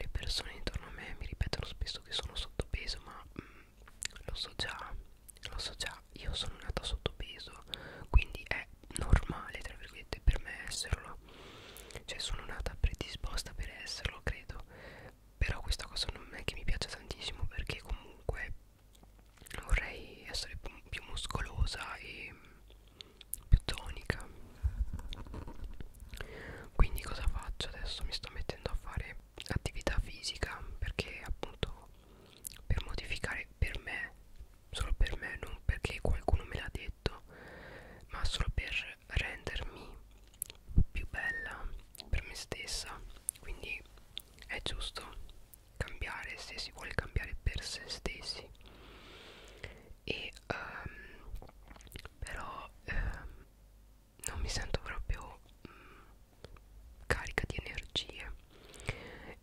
le persone intorno a me mi ripetono spesso che sono sottopeso, ma mm, lo so già, lo so già, io sono nata sottopeso, quindi è normale, tra virgolette, per me esserlo. Cioè sono nata predisposta per esserlo, credo. Però questa cosa non è che mi piace tantissimo perché comunque vorrei essere più, più muscolosa e più tonica quindi cosa faccio adesso mi sto mettendo a fare attività fisica perché appunto per modificare per me solo per me non perché qualcuno me l'ha detto ma solo per rendermi più bella per me stessa quindi è giusto cambiare se si vuole cambiare per se stessi e um, però um, non mi sento proprio um, carica di energie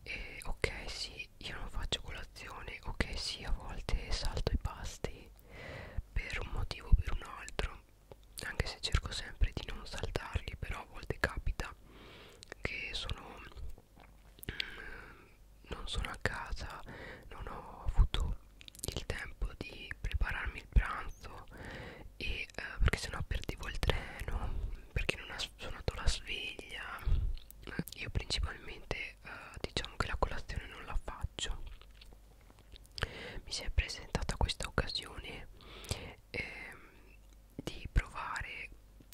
e ok sì io non faccio colazione ok sì a volte salto i pasti per un motivo o per un altro anche se cerco sempre di non saltarli però a volte capita che sono non sono a casa non ho avuto il tempo di prepararmi il pranzo e eh, perché sennò perdevo il treno perché non ha suonato la sveglia io principalmente eh, diciamo che la colazione non la faccio mi si è presentata questa occasione eh, di provare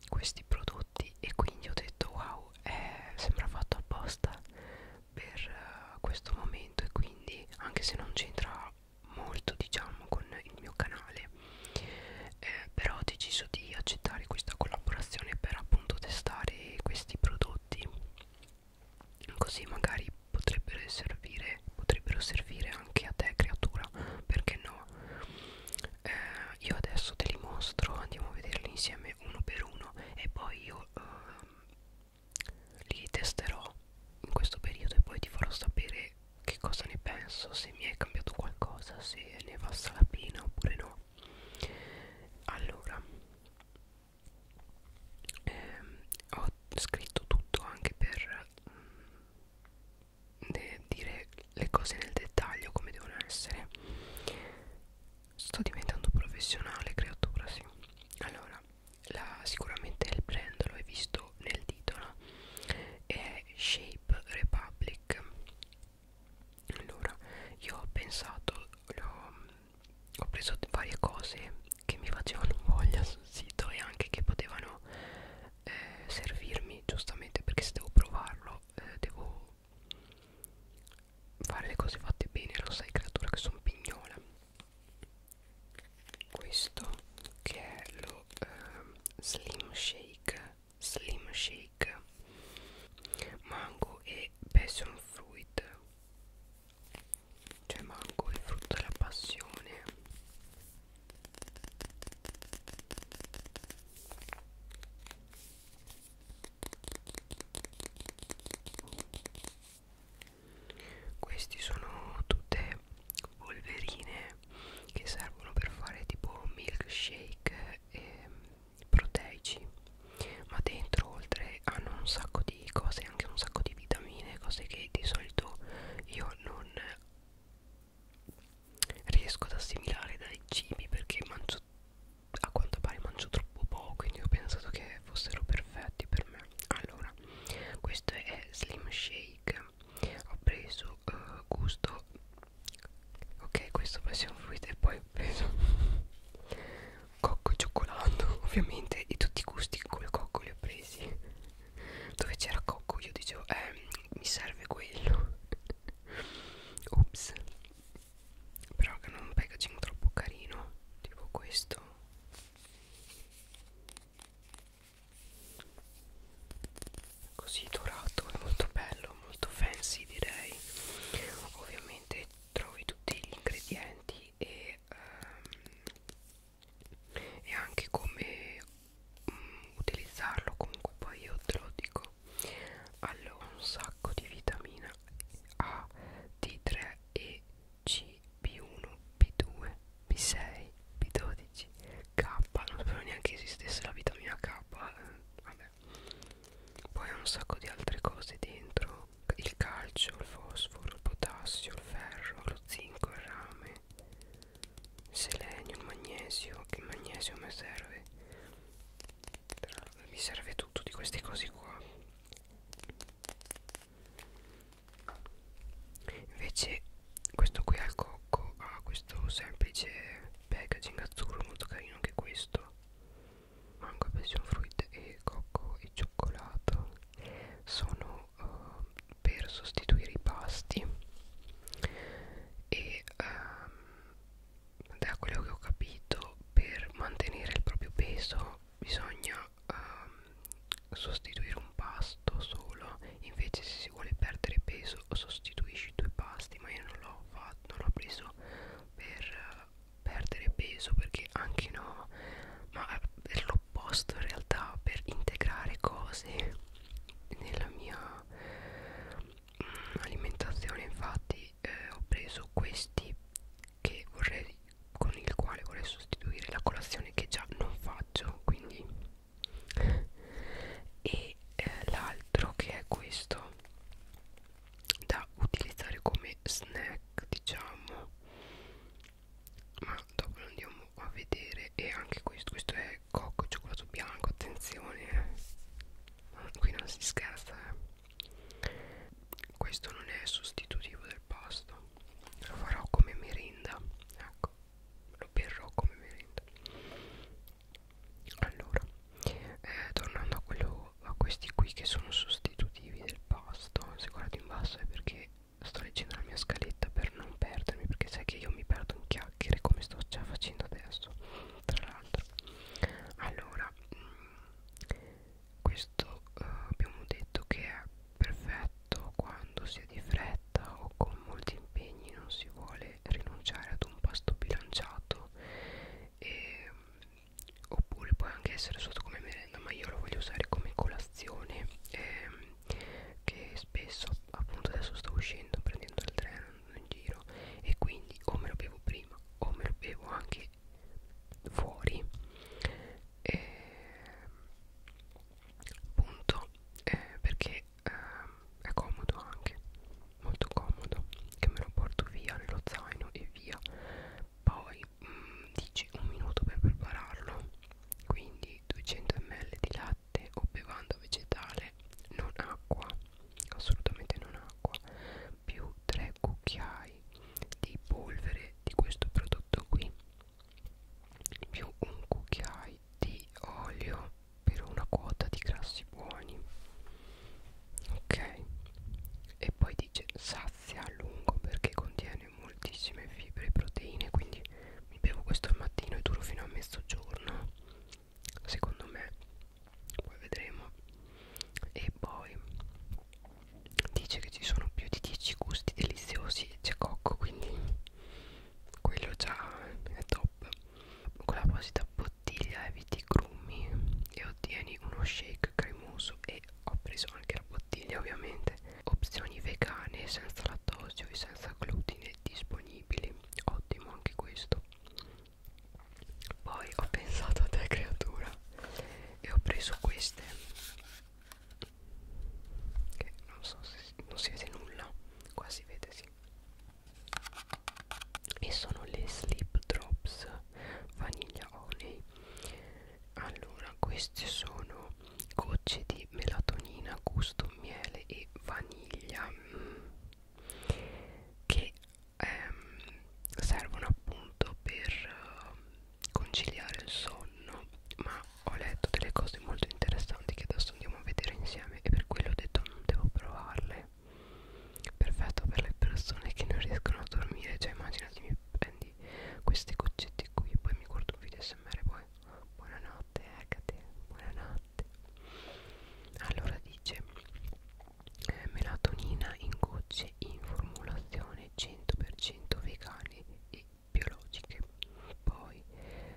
questi prodotti tutti e quindi ho detto wow è, sembra fatto apposta per uh, questo momento e quindi anche se non c'entra molto diciamo con il mio canale eh, però ho deciso di accettare questa collaborazione per appunto testare questi prodotti così magari potrebbero servire potrebbero servire anche a te creatura perché no eh, io adesso te li mostro andiamo a vederli insieme uno per uno e poi io eh, li testerò in questo periodo e poi ti farò sapere che cosa ne penso se mi è cambiato qualcosa se ne valsa la pena oppure no allora ehm, ho scritto tutto anche per mh, dire le cose nel dettaglio come devono essere sto diventando professionale creatura sì allora la, sicuramente il brand lo hai visto nel titolo è Shape Republic allora io ho pensato ho, ho preso varie cose che mi facevano voglia sul sito e anche che potevano eh, servirmi giustamente perché se devo provarlo però eh, devo fare le cose fatte bene lo sai creatura che sono pignola questo che è lo eh, slim shake slim shake mango e passion fruit cioè mango e frutto della passione questi sono tutte polverine che servono per fare tipo milkshake e proteici, ma dentro oltre hanno un sacco di cose, anche un sacco di vitamine, cose che di solito io non riesco ad assimilare dai cibi perché mangio a quanto pare mangio troppo poco quindi ho pensato che fossero perfetti per me allora questo è slim shake ho preso uh, gusto ok questo passion fruit e poi ho preso cocco e cioccolato ovviamente di tutti i gusti col cocco li ho presi dove c'era cocco io dicevo eh, mi serve quello ops però che non un packaging troppo carino tipo questo così dorato è molto bello molto fancy direi ovviamente trovi tutti gli ingredienti e, um, e anche come utilizzarlo comunque poi io te lo dico allora un sacco di vitamina A D3 E C B1 B2 B6 B12 K non spero neanche esistesse la vitamina K eh, vabbè poi ha un sacco di altre cose dentro il calcio il fosforo il potassio il ferro lo zinco il rame selenio, il magnesio, che il magnesio mi serve, Però mi serve tutto di queste cose qua. Invece questo qui al cocco ha questo semplice packaging azzurro molto carino anche questo. Mango, passion fruit e cocco e cioccolato sono uh, per sostituire i pasti e um, da quello che ho capito per mantenere il proprio peso bisogna um, sostituire un pasto solo invece se si vuole perdere peso sostituisci due pasti ma io non l'ho fatto non l'ho preso per perdere peso perché anche no ma per eh, l'opposto in realtà per integrare cose nella mia alimentazione infatti eh, ho preso questi che vorrei, con il quale vorrei sostituire la colazione che già non faccio quindi e eh, l'altro che è questo da utilizzare come snack diciamo ma dopo lo andiamo a vedere e anche questo questo è eh, cocco e cioccolato bianco attenzione eh. qui non si scherza eh. questo non è sostitutivo del pasto lo farò come merenda ecco lo berrò come merenda allora eh, tornando a, quello, a questi qui che sono sostitutivi del pasto se guardo in basso è perché sto leggendo la mia scaletta per non perdermi perché sai che io mi perdo in chiaro chiacchiere come sto già facendo adesso tra l'altro allora mh, mm, questo uh, abbiamo detto che è perfetto quando si è di fretta o con molti impegni non si vuole rinunciare ad un pasto bilanciato e, mm, oppure può anche essere sotto come merenda ma io lo voglio usare come colazione ehm, che spesso appunto adesso sto uscendo prendendo il treno andando in giro e quindi o me lo bevo prima o me lo bevo anche fuori e, ehm, punto eh, perché eh, è comodo anche molto comodo che me lo porto via nello zaino e via poi mh, mm, dici un minuto per prepararlo quindi 200 ml di latte latte o bevanda vegetale non acqua assolutamente non acqua più 3 cucchiai di polvere di questo prodotto qui più un cucchiai di olio per una quota di grassi buoni ok e poi dice sazia a lungo perché contiene moltissime fibre e proteine quindi mi bevo questo al mattino e duro fino a mezzogiorno secondo me poi vedremo e poi dice che ci sono più di 10 gusti deliziosi e c'è cocco quindi quello già è top con l'apposita bottiglia eviti grumi e ottieni uno shake cremoso e ho preso anche la bottiglia ovviamente opzioni vegane senza lattosio e senza glutine disponibili ottimo anche questo poi ho pensato a te creatura e ho preso queste che non so se si, non si vede nulla qua si vede sì e sono le slip drops vaniglia honey allora queste sono gocce di melatonina gusto miele e vaniglia mm, che ehm, servono appunto per uh, conciliare il sonno ma ho letto delle cose molto interessanti che adesso andiamo a vedere insieme e per quello ho detto non mm, devo provarle perfetto per le persone che non riescono a dormire cioè immaginati mi prendi queste goccette qui poi mi guardo un video smr poi Buonanotte Ecate, buonanotte Allora dice eh, Melatonina in gocce in formulazione 100% vegane e biologiche Poi eh,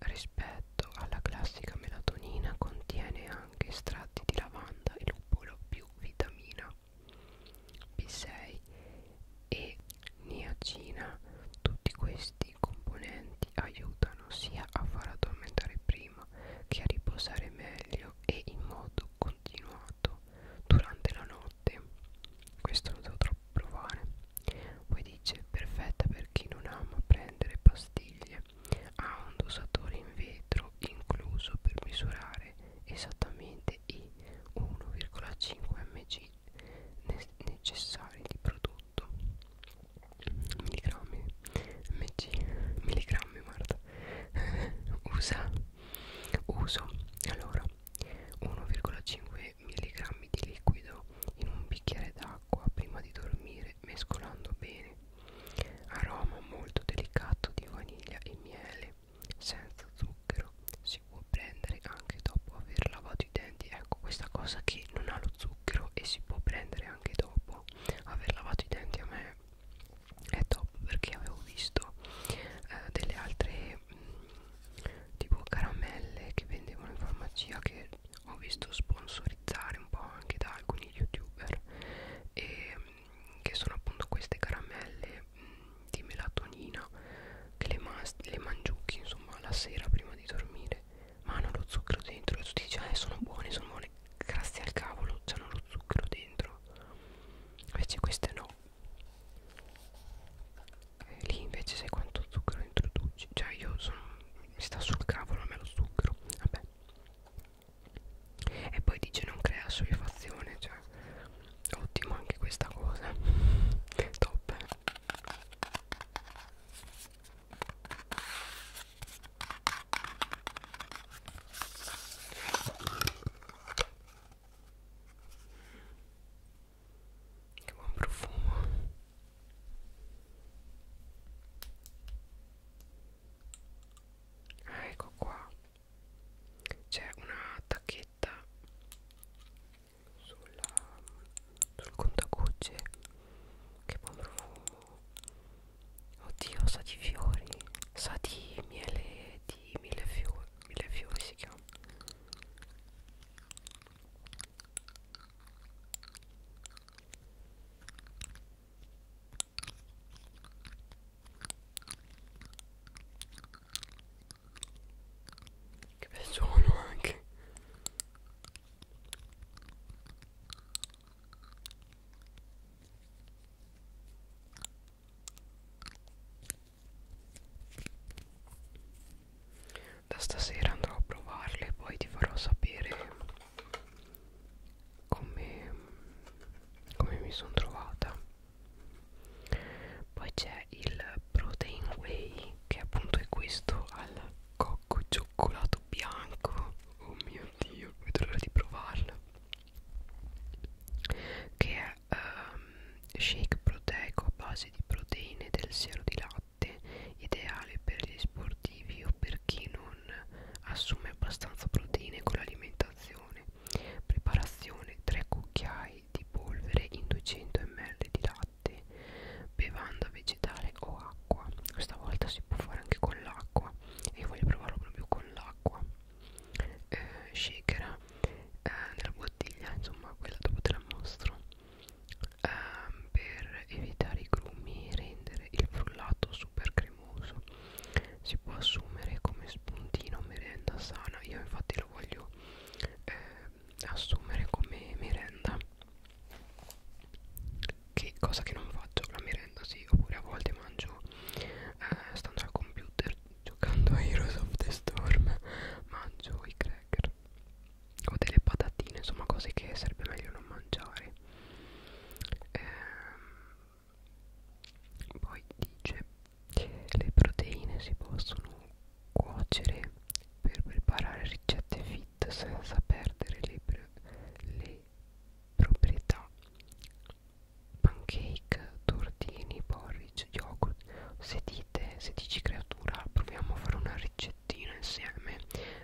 rispetto alla classica melatonina contiene anche estratti di lavanda e lupolo più vitamina B6 e niacina tutti questi dei componenti aiutano sia a far addormentare prima che a riposare meglio e in modo continuato durante la notte. Questo lo devo troppo provare. Poi dice perfetta per chi non ama prendere pastiglie. Ha un dosatore in vetro incluso per misurare esattamente i 1,5 mg necessari di prodotto. 8 milligrammi mg milligrammi guarda usa uso allora 1,5 milligrammi di liquido in un bicchiere d'acqua prima di dormire mescolando bene aroma molto delicato di vaniglia e miele senza zucchero si può prendere anche dopo aver lavato i denti ecco questa cosa che non ha lo zucchero e si può prendere anche dopo aver lavato i denti a me è top perché avevo visto eh, delle altre mh, mm, tipo caramelle che vendevano in farmacia che ho visto sponsorizzare un po' anche da alcuni youtuber e mh, mm, che sono appunto queste caramelle mh, mm, di melatonina che le, le mangiucchi insomma la sera prima di dormire ma hanno lo zucchero dentro e tu dici ah sono buone sono buone grazie al cavolo hanno lo zucchero dentro invece queste no e lì invece sai quanto zucchero introduci cioè io sono mi sta sul cavolo a me lo zucchero vabbè e poi dice non crea soddisfazione cioè ottimo anche questa cosa top eh. Che buon profumo. Ah, ecco qua. C'è una tacchetta sulla, sul contagocce che buon profumo Oddio sa di fiori Sa di miele Di mille fiori Mille fiori si chiama che bel suono anche da stasera andrò a provarle e poi ti farò sapere come, come mi sono trovata. Poi c'è il Protein Way che appunto è questo al cocco cioccolato bianco oh mio dio vedo l'ora di provarla che è um, shake proteico a base di proteine del siero di latte ideale per gli sportivi o per chi non assume abbastanza proteine con l'alimentazione preparazione 3 cucchiai di polvere in 200 ml di latte latte bevanda vegetale o acqua stavolta si può fare anche con l'acqua e io voglio provarlo proprio con l'acqua eh, shaker eh, nella bottiglia insomma quella dopo te la mostro eh, per evitare i grumi e rendere il frullato super cremoso si può assumere come spuntino merenda sana io infatti lo voglio eh, assumere come merenda che cosa che non faccio la merenda sì oppure a volte mangio eh, stando al computer giocando a Heroes of the Storm mangio i cracker o delle patatine insomma cose che sarebbe meglio non mangiare ehm, poi dice le proteine si possono cuocere per preparare ricette fit senza perdere le, le proprietà pancake, tortini, porridge, yogurt se dite, se dici creatura proviamo a fare una ricettina insieme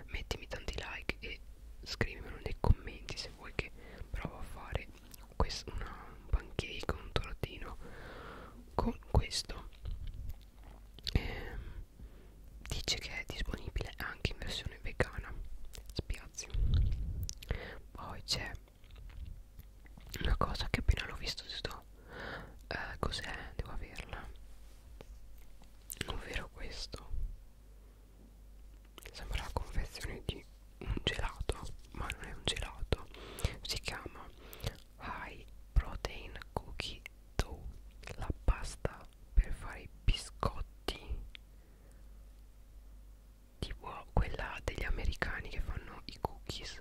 mettimi tanti like e scrivimelo nei commenti se vuoi che provo a fare una, un pancake, un tortino con questo eh, dice che è disponibile anche in versione vegana spiazzi poi c'è una cosa che appena l'ho visto sto eh, cos'è devo averla ovvero questo sembra la confezione di un gelato ma non è un gelato si chiama high protein cookie metto la pasta per fare i biscotti tipo quella degli americani che fanno i cookies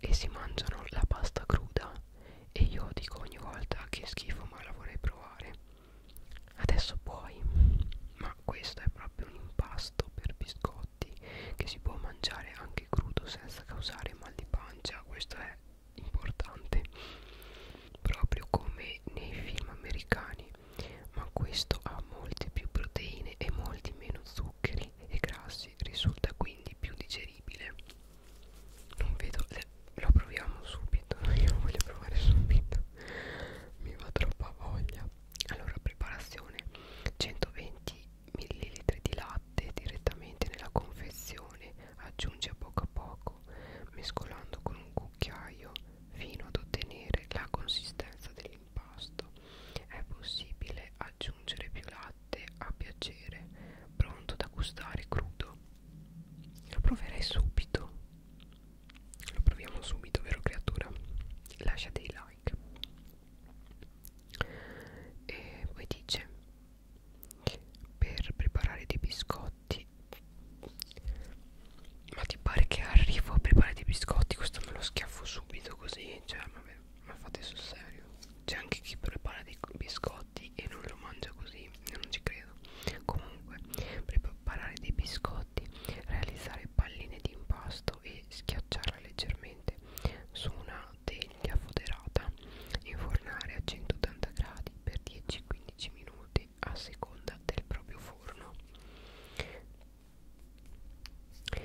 e si mangiano la pasta cruda e io dico ogni volta che schifo ma la vorrei provare adesso puoi ma questo è proprio un impasto per biscotti che si può mangiare anche crudo senza causare mal di pancia questo è importante proprio come nei film americani ma questo ha molte più proteine e molti meno zuccheri e grassi risulta quindi più digeribile non vedo le, lo proviamo subito io lo voglio provare subito mi va troppa voglia allora preparazione 120 ml di latte direttamente nella confezione aggiunge a poco a poco mescolando con un cucchiaio fino ad ottenere la consistenza dell'impasto è possibile aggiungere più latte a piacere pronto da gustare crudo lo proverei subito lo proviamo subito vero creatura lascia dei like e poi dice per preparare dei biscotti ma ti pare che arrivo a preparare dei biscotti questo me lo schiaffo subito così cioè vabbè ma fate sul serio c'è anche chi prepara dei biscotti e non lo mangia così io non ci credo comunque preparare dei biscotti realizzare palline di impasto e schiacciarla leggermente su una una teglia foderata infornare a 180 gradi per 10-15 minuti a seconda del proprio forno e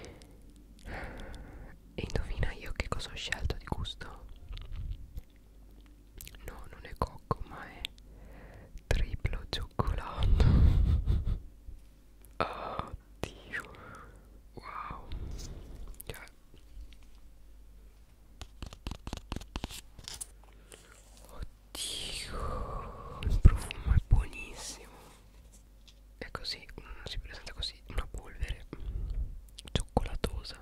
indovina io che cosa ho scelto di gusto? no non è cocco ma è triplo cioccolato oddio wow cioè fare oddio il profumo è buonissimo è così mm, si presenta così una polvere cioccolatosa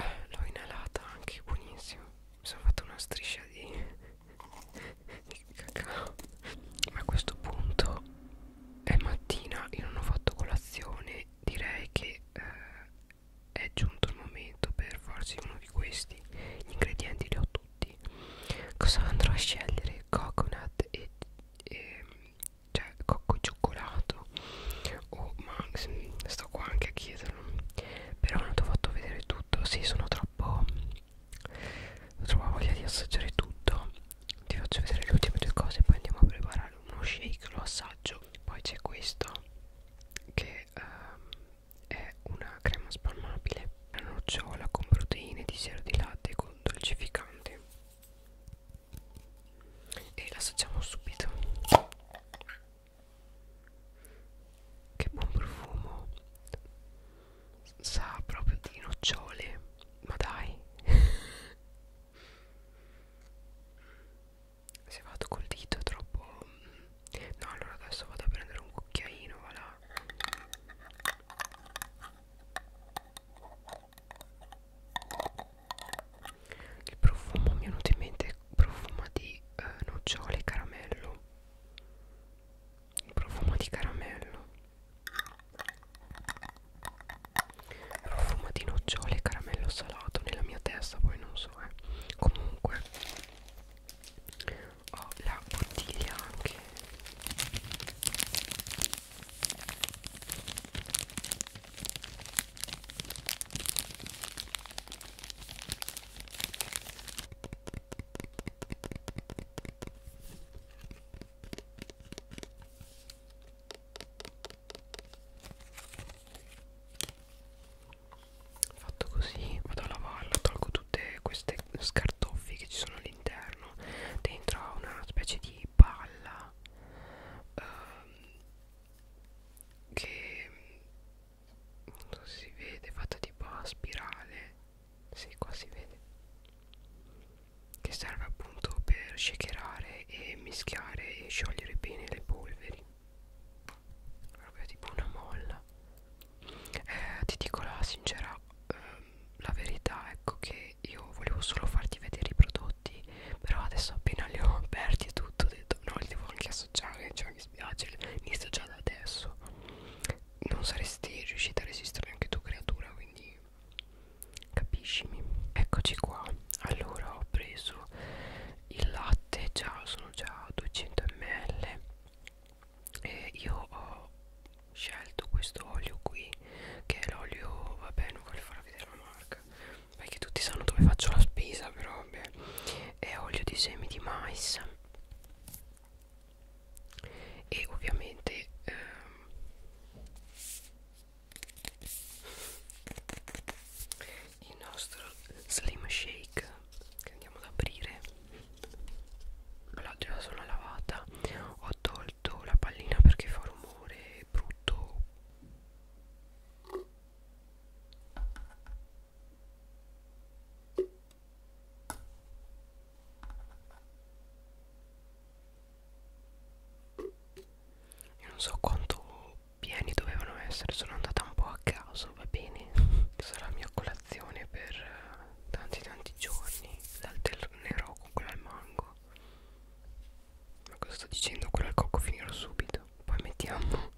eh, l'ho inalata anche buonissimo mi sono fatta una striscia di, di cacao ma a questo punto è mattina io non ho fatto colazione direi che eh, è giunto il momento per farsi uno di questi gli ingredienti li ho tutti cosa andrò a scegliere coconut e, e cioè cocco cioccolato o oh, max sto qua anche a chiederlo però non ti ho fatto vedere tutto sì sono troppo ho trovato voglia di assaggiare tutto ti faccio vedere le ultime due cose poi andiamo a preparare uno shake lo assaggio poi c'è questo che ehm, è una crema spalmabile la nocciola con proteine di siero di latte con dolcificante e l'assaggiamo subito che buon profumo sa proprio di nocciole ma dai se vado col dito è troppo no allora adesso vado a prendere un cucchiaino voilà il profumo mi è venuto in mente profumo di eh, nocciole e caramello il profumo di caramello profumo di nocciole e caramello salato nella mia testa poi non so eh. comunque ho la bottiglia anche fatto così vado a lavarla tolgo tutte queste scartoffie che ci sono all'interno dentro ha una specie di palla ehm, che non so se si vede fatta tipo a spirale si sì, qua si vede che serve appunto per shakerare e mischiare e sciogliere bene le polveri proprio tipo una molla eh, ti dico la sincera ehm, la verità ecco che io volevo solo farti vedere i prodotti però adesso appena li ho aperti e tutto ho detto no li devo anche associare cioè mi spiace inizio già da adesso non saresti riuscita a resistere anche tu creatura quindi capiscimi eccoci qua allora ho preso il latte già sono già 200 ml e io ho scelto questo olio qui che è l'olio vabbè non voglio farvi vedere la marca perché tutti sanno dove faccio la spesa però vabbè è olio di semi di mais e ovviamente ehm, il nostro slim shake che andiamo ad aprire la già sono lavata ho tolto la pallina perché fa rumore brutto io non so quanto pieni dovevano essere, sono andata un po' a caso, va bene? Sarà mia colazione per eh, tanti tanti giorni, l'alternerò con quella al mango. Ma cosa sto dicendo? Quello al cocco finirò subito. Poi mettiamo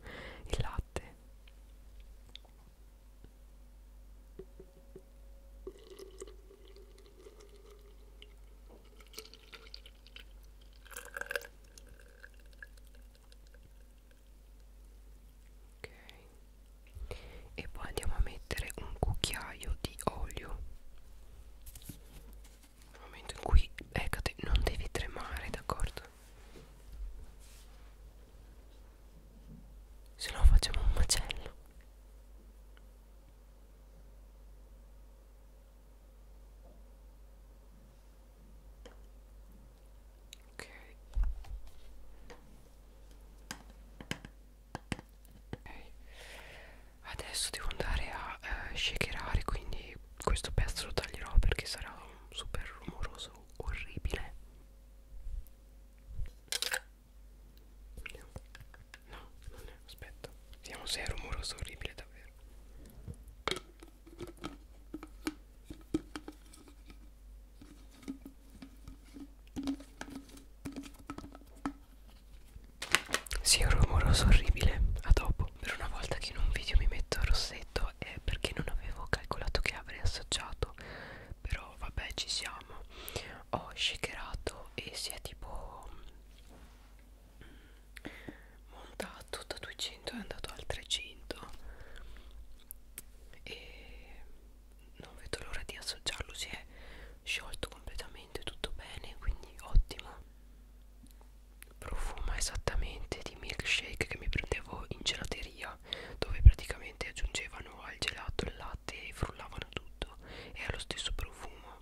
il latte ok e poi andiamo a mettere un cucchiaio di olio nel momento in cui eccate non devi tremare d'accordo se no facciamo un macello ok adesso devo andare a eh, shakerare quindi questo pezzo lo taglierò perché sarà un super rumoroso orribile Vediamo. No, non è, aspetta Vediamo se è rumoroso orribile davvero Sì, è un rumoroso orribile A dopo Per una volta che in un video mi metto rossetto È perché non avevo calcolato che avrei assaggiato Però vabbè ci siamo Ho shakerato e si è tipo mm, montato da 200 è andato al 300 e non vedo l'ora di assaggiarlo si è sciolto completamente tutto bene quindi ottimo profuma esattamente di milkshake che mi prendevo in gelateria dove praticamente aggiungevano al gelato il latte e frullavano tutto e ha lo stesso profumo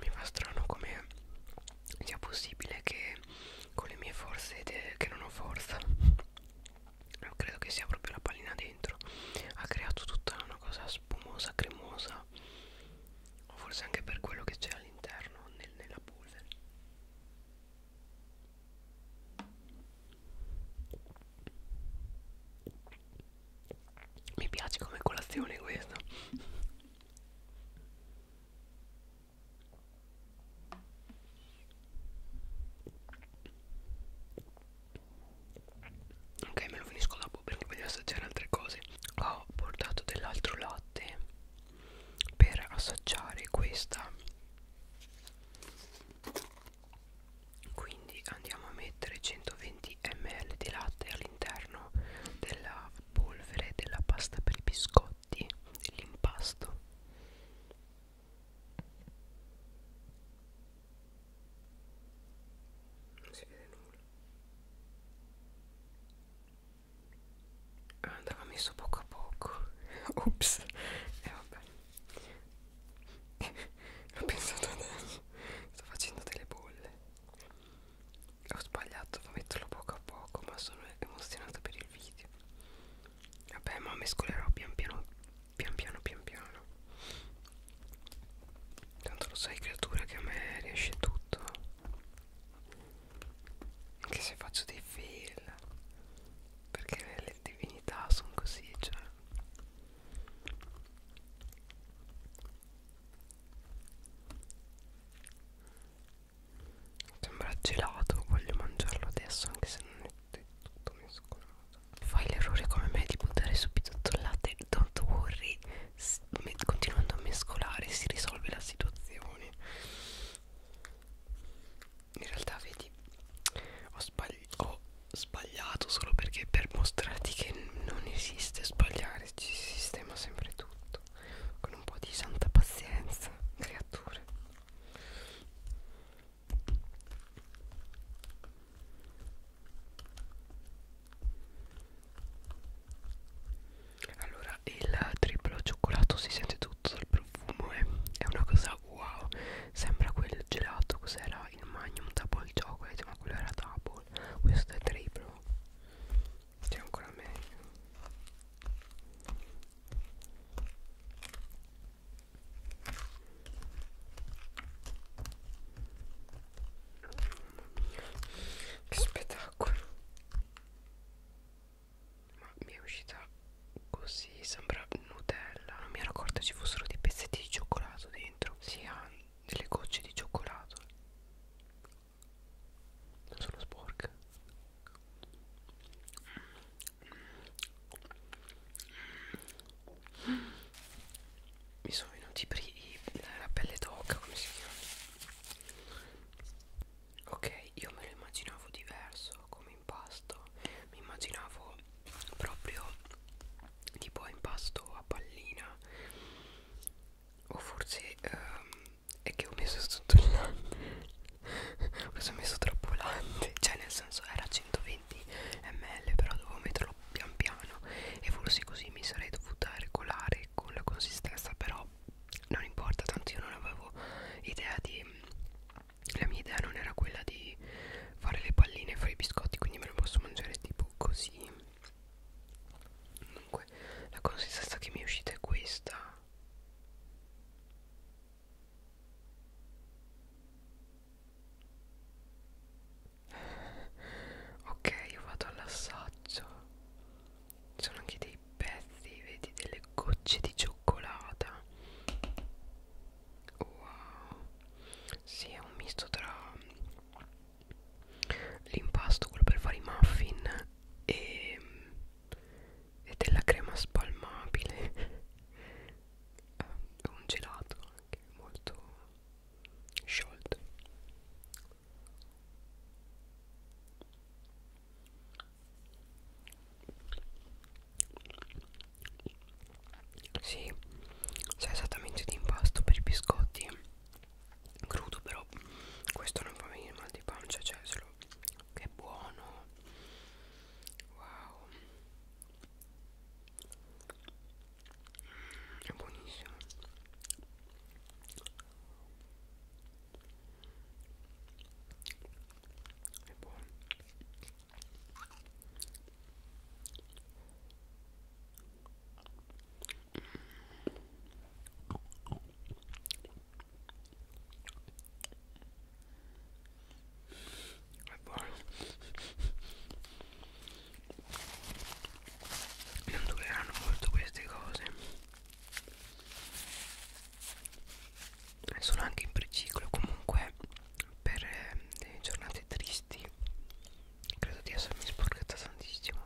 mi fa strano come sia possibile che con le mie forze che non ho forza credo che sia proprio la pallina dentro ha creato tutta una cosa spumosa cremosa o forse anche per quello che c'è all'interno nel, nella polvere mi piace come colazione questa Ok, me lo finisco dopo perché voglio assaggiare altre cose. Ho portato dell'altro latte per assaggiare questa. Quindi andiamo a mettere 120 ml di latte all'interno all'interno della polvere della pasta per i biscotti dell'impasto non si vede nulla andava ah, messo poco a poco ups e eh, vabbè ho pensato adesso sto facendo delle bolle ho sbagliato a metterlo poco a poco ma sono emozionata per il video vabbè ma mescolerò pian piano pian piano pian piano tanto lo sai creatura che a me riesce tutto anche se faccio dei fail perché le divinità sono così cioè Sembra gelato, voglio mangiarlo adesso anche se non è del tutto mescolato. Fai l'errore come me di buttare subito tutto il latte, don't worry, continuando a mescolare si risolve la situazione. In realtà vedi, ho, sbagli ho sbagliato solo perché per mostrarti che non esiste sbagliare, ci si sistema sempre tutto tutto con un po' di santa pazienza creature allora il triplo cioccolato si sente tutto dal profumo eh? è una cosa wow sembra quel gelato cos'era il magnum double chocolate ma quello era double questo è triplo che è ancora meglio che spettacolo ma mi è uscita così sembra nutella non mi ero accorta ci fossero dei pezzetti di cioccolato dentro si ha delle gocce di cioccolato sono sporca mi sono venuti i la pelle d'oca come si chiama ok io me lo immaginavo diverso come impasto mi immaginavo proprio tipo impasto a pallina o forse um, è che ho messo tutto il latte ho messo troppo latte cioè nel senso era 120 ml però dovevo metterlo pian piano e forse così mi sarei dovuta regolare con la consistenza però non importa tanto io non avevo idea di la mia idea non era quella di fare le palline e fare i biscotti quindi me lo posso mangiare tipo così Comunque la consistenza che mi è uscita è questa Ok io vado all'assaggio Sono anche dei pezzi Vedi delle gocce di cioccolata Wow Sì è un misto tra l'impasto quello per fare i muffin e, e della crema spalmabile un gelato anche molto sciolto sì, c'è esattamente di impasto per i biscotti crudo però questo non fa venire mal di pancia cioè solo che buono wow mm, è buonissimo è buono è buono. Non dureranno molto queste cose. Sono anche in preciclo comunque per eh, giornate tristi. Credo di essermi sporcata tantissimo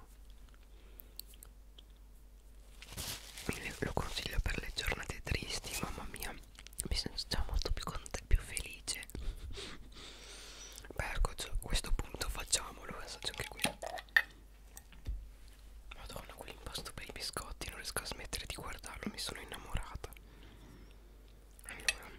lo consiglio per le giornate tristi mamma mia mi sento già molto più contenta più felice beh ecco a questo punto facciamolo assaggio eh, anche qui madonna quell'impasto per i biscotti non riesco a smettere di guardarlo mi sono innamorata allora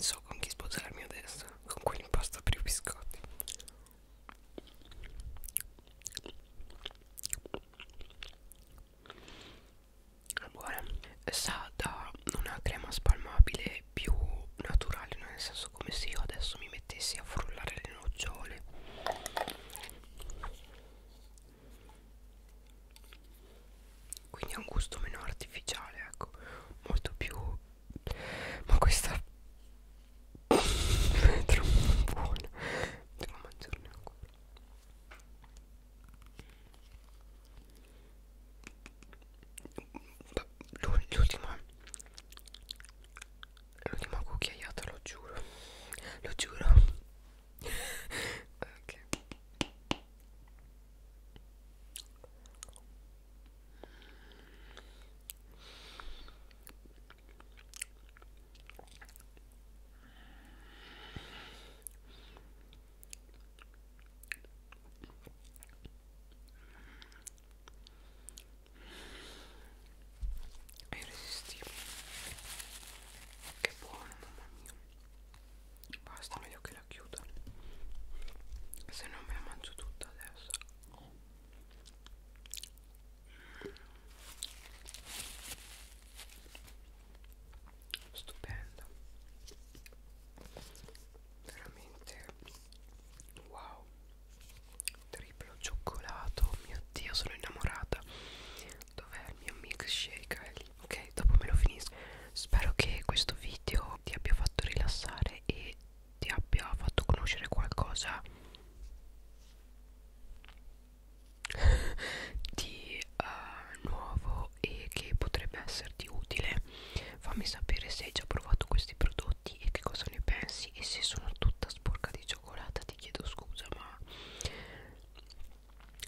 So con chi sposarmi adesso, con quell'impasto per i biscotti. Allora, sa da una crema spalmabile più naturale, nel senso come se io adesso mi mettessi a frullare le nocciole quindi ha un gusto meno artificiale ecco molto più ma questa è troppo buona devo mangiarne ancora l'ultima lo diamo cucchiaiato, lo giuro. Lo giuro. ok è irresistibile che buono mamma mia basta meglio che la chiuda se no me la mangio tutta adesso stupendo veramente wow triplo cioccolato mio dio sono innamorata dov'è il mio milkshake è lì. ok dopo me lo finisco spero che questo video ti abbia fatto rilassare e ti abbia fatto conoscere qualcosa di uh, nuovo e che potrebbe esserti utile fammi sapere se hai già provato questi prodotti e che cosa ne pensi e se sono tutta sporca di ciò cioccolata ti chiedo scusa ma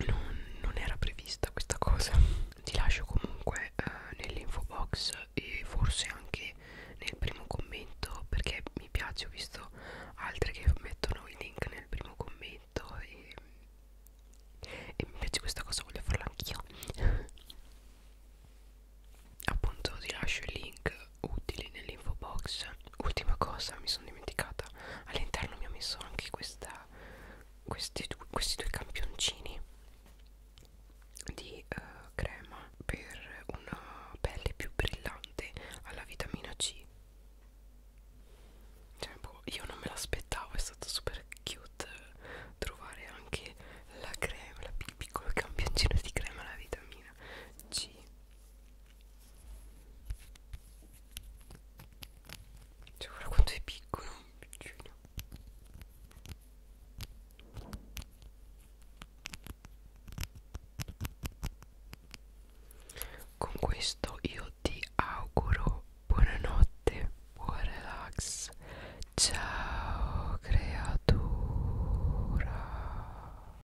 non, non era prevista questa cosa ti lascio comunque eh, nell'info box e forse anche nel primo commento perché mi piace ho visto altre che mettono il link nel primo commento e, e mi piace questa cosa voglio farla anch'io appunto ti lascio il link utili nell'info box ultima cosa mi sono dimenticata all'interno mi ho messo anche questa questi, du questi due campioncini di uh, crema per una pelle più brillante alla vitamina C cioè, boh, io non me l'aspettavo è stato super cute eh, trovare anche la crema la piccolo campioncino di crema alla vitamina C cioè guarda quanto è piccolo, piccino. Con questo io ti auguro buonanotte, buon relax. Ciao creatura.